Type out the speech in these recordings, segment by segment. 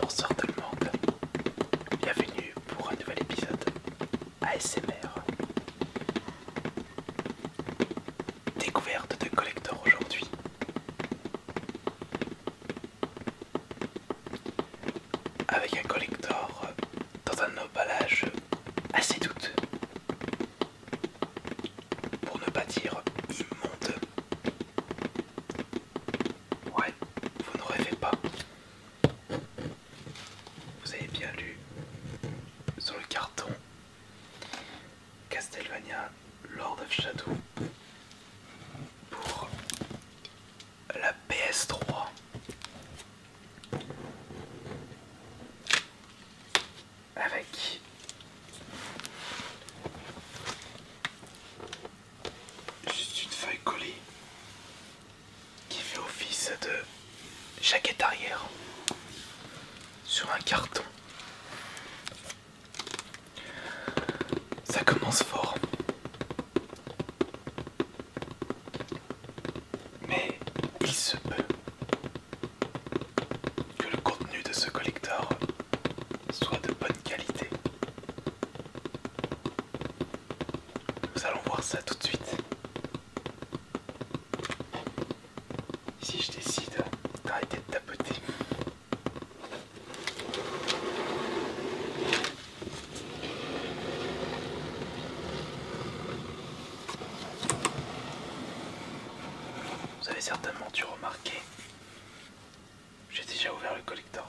Bonsoir tout le monde, bienvenue pour un nouvel épisode ASMR. Découverte de collector aujourd'hui avec un collector dans un emballage assez douteux, pour ne pas dire immonde. Ouais, vous ne rêvez pas. Vous avez bien lu sur le carton Castelvania Lord of Shadow pour la PS3. Avec juste une feuille collée qui fait office de jaquette arrière sur un carton ça commence fort. Mais il se peut que le contenu de ce collector soit de bonne qualité. Nous allons voir ça tout de suite. Si je décide d'arrêter de tapoter vous avez certainement dû remarquer, j'ai déjà ouvert le collector.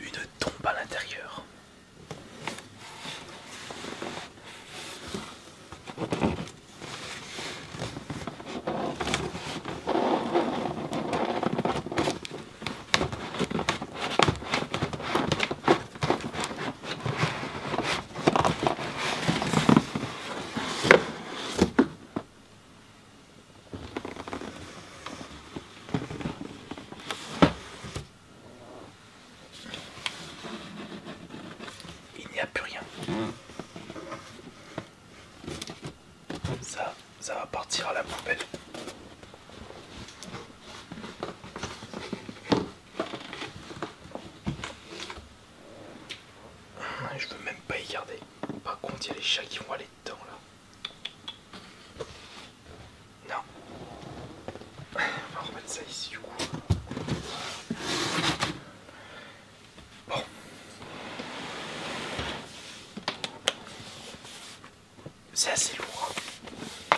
Une tombe à l'intérieur. Il n'y a plus rien. Ça, ça va partir à la poubelle. Je veux même pas y garder. Par contre, il y a les chats qui vont aller là. Non. On va remettre ça ici du coup. Bon. C'est assez lourd. Hein.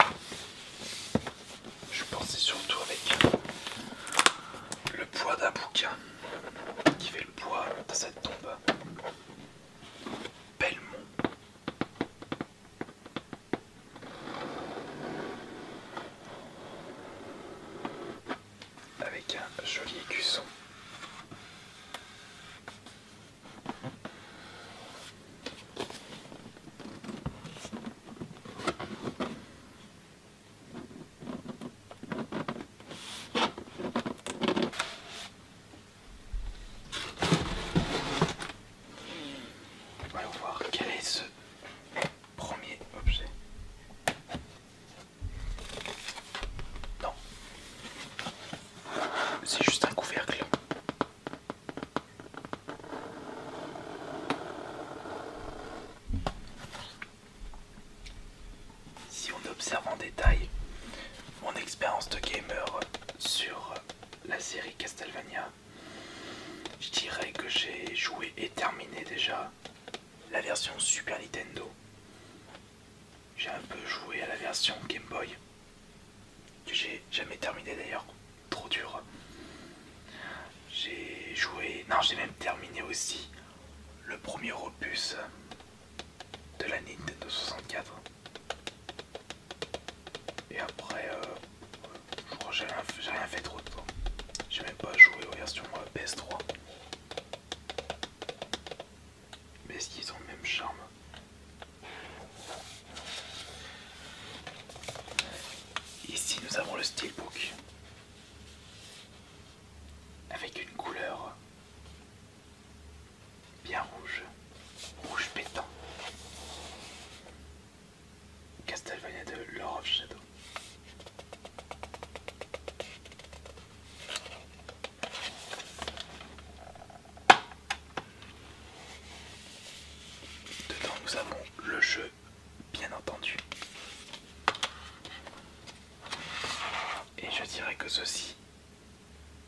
Je pensais surtout avec le poids d'un bouquin qui fait le poids de cette tombe. Belmont. Avec un joli écusson va voir quel est ce premier objet. Non, c'est juste un couvercle. Si on observe en détail mon expérience de gamer sur la série Castlevania, je dirais que j'ai joué et terminé déjà la version Super Nintendo. J'ai un peu joué à la version Game Boy, que j'ai jamais terminé d'ailleurs, trop dur. J'ai joué, non j'ai même terminé aussi le premier opus de la Nintendo 64. Et après, euh, j'ai rien, fait trop de temps. J'ai même pas joué aux versions PS3. Mais est-ce qu'ils ont le même charme Ici, nous avons le Steelbook avec une couleur Bien rouge. Rouge pétant. Castlevania de Lord Shadow. Dedans nous avons le jeu, bien entendu. Et je dirais que ceci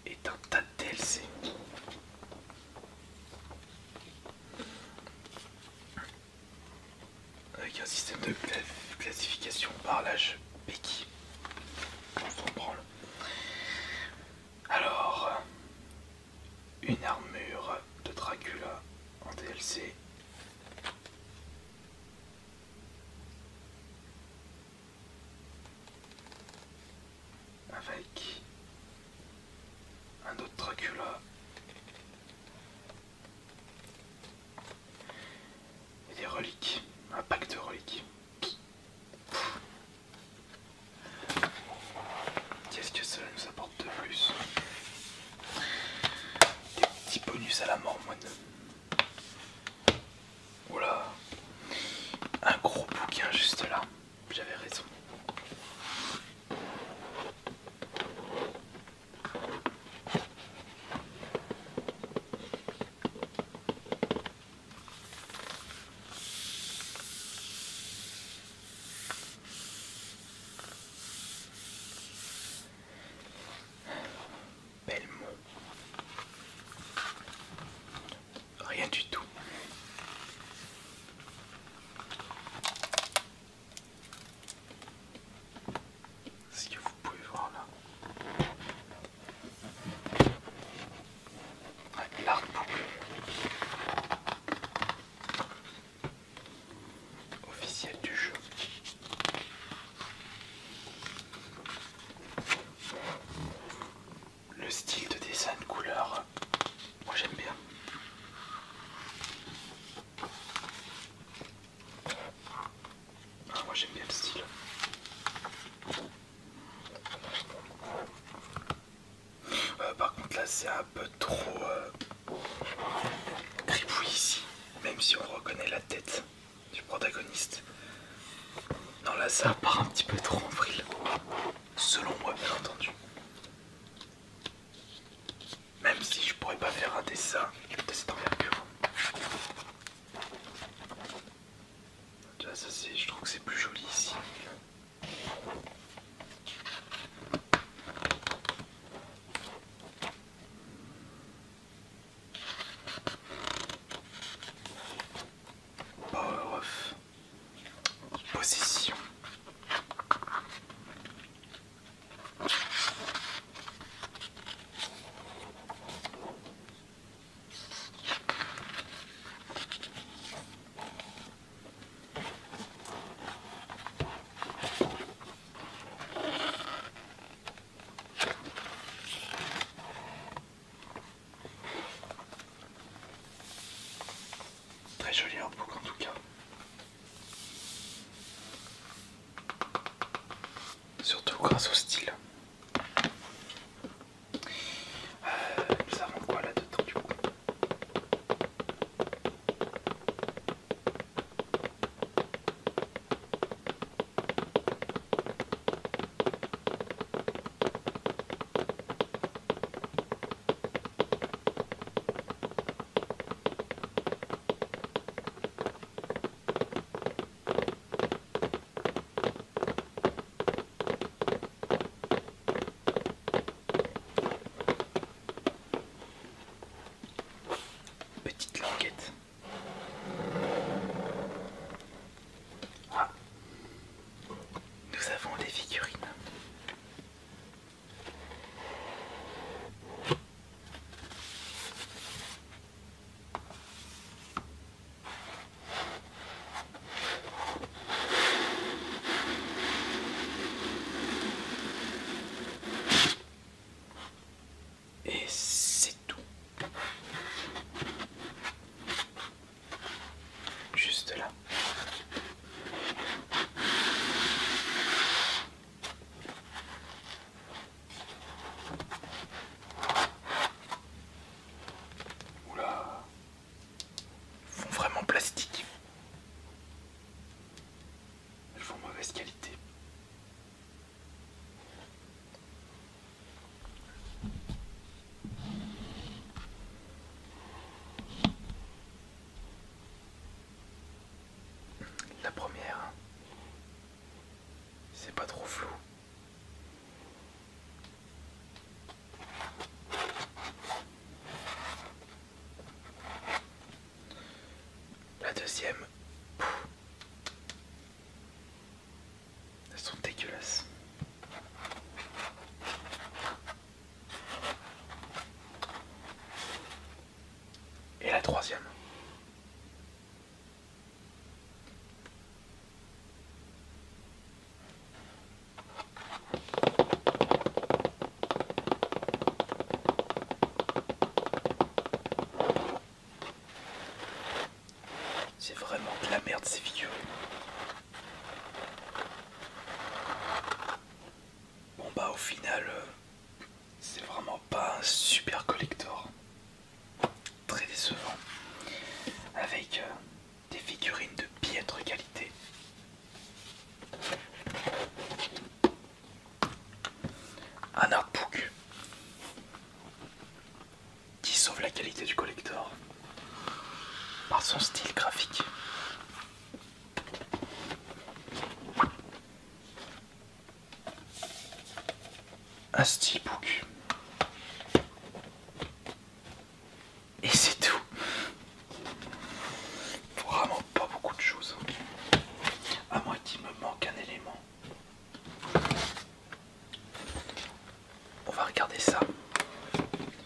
est un tas de DLC. Avec un système de classification par l'âge Becky. Alors, une armure de Dracula en DLC avec un autre Dracula et des reliques, un pack de reliques. Qu'est-ce que cela nous apporte de plus Des petits bonus à la mort moi. Oula, un gros bouquin juste là, j'avais raison. Belmont. Rien du tout. ce que vous pouvez voir là. l'arc officiel du jeu. Le style de dessin de couleur, moi j'aime bien. Ah, moi j'aime bien le style. Euh, par contre là c'est un peu trop euh, gribouille ici, même si on reconnaît la tête du protagoniste. Non là ça part un petit peu trop en vrille. Selon moi bien entendu. Même si je pourrais pas faire un dessin de Là, ça c'est. Je trouve que c'est plus joli ici. Possession. Très joli en tout cas. Surtout grâce au style. Euh, nous avons quoi là-dedans du coup Petite languette. Ah. Nous avons des figurines. Et c'est tout. Juste là. Oula. Ils font vraiment plastique. Ils font mauvaise qualité. La première, c'est pas trop flou. La deuxième, elles sont dégueulasses. Et la troisième. C'est vraiment de la merde ces figurines. Bon bah au final, euh, c'est vraiment pas un super collector. Très décevant. Avec euh, des figurines de piètre qualité. Un artbook qui sauve la qualité du collector par son style graphique. Un Book. Et c'est tout. Vraiment pas beaucoup de choses. À moins qu'il me manque un élément. On va regarder ça.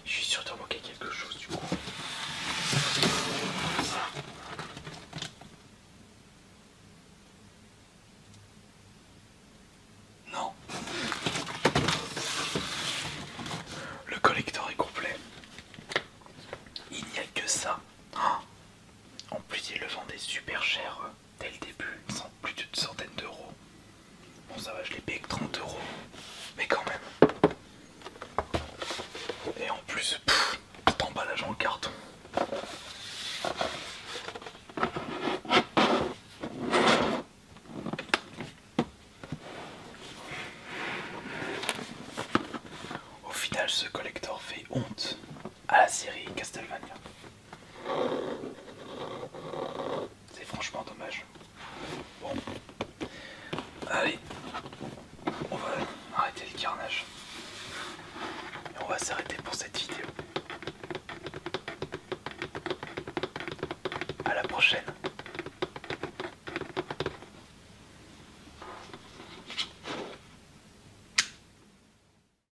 Je suis sûr de manquer quelque chose du coup. Non. Le collecteur est complet. Il n'y a que ça. Ah. En plus, ils le vendaient super cher dès le début, sans plus d'une centaine d'euros. Bon ça va, je l'ai payé que 30 euros, mais quand même. Et en plus, tout cet emballage en carton. Au final, ce collector fait honte à la série Castlevania. C'est franchement dommage. Bon. Allez. On va arrêter le carnage. Et on va s'arrêter pour cette vidéo. À la prochaine.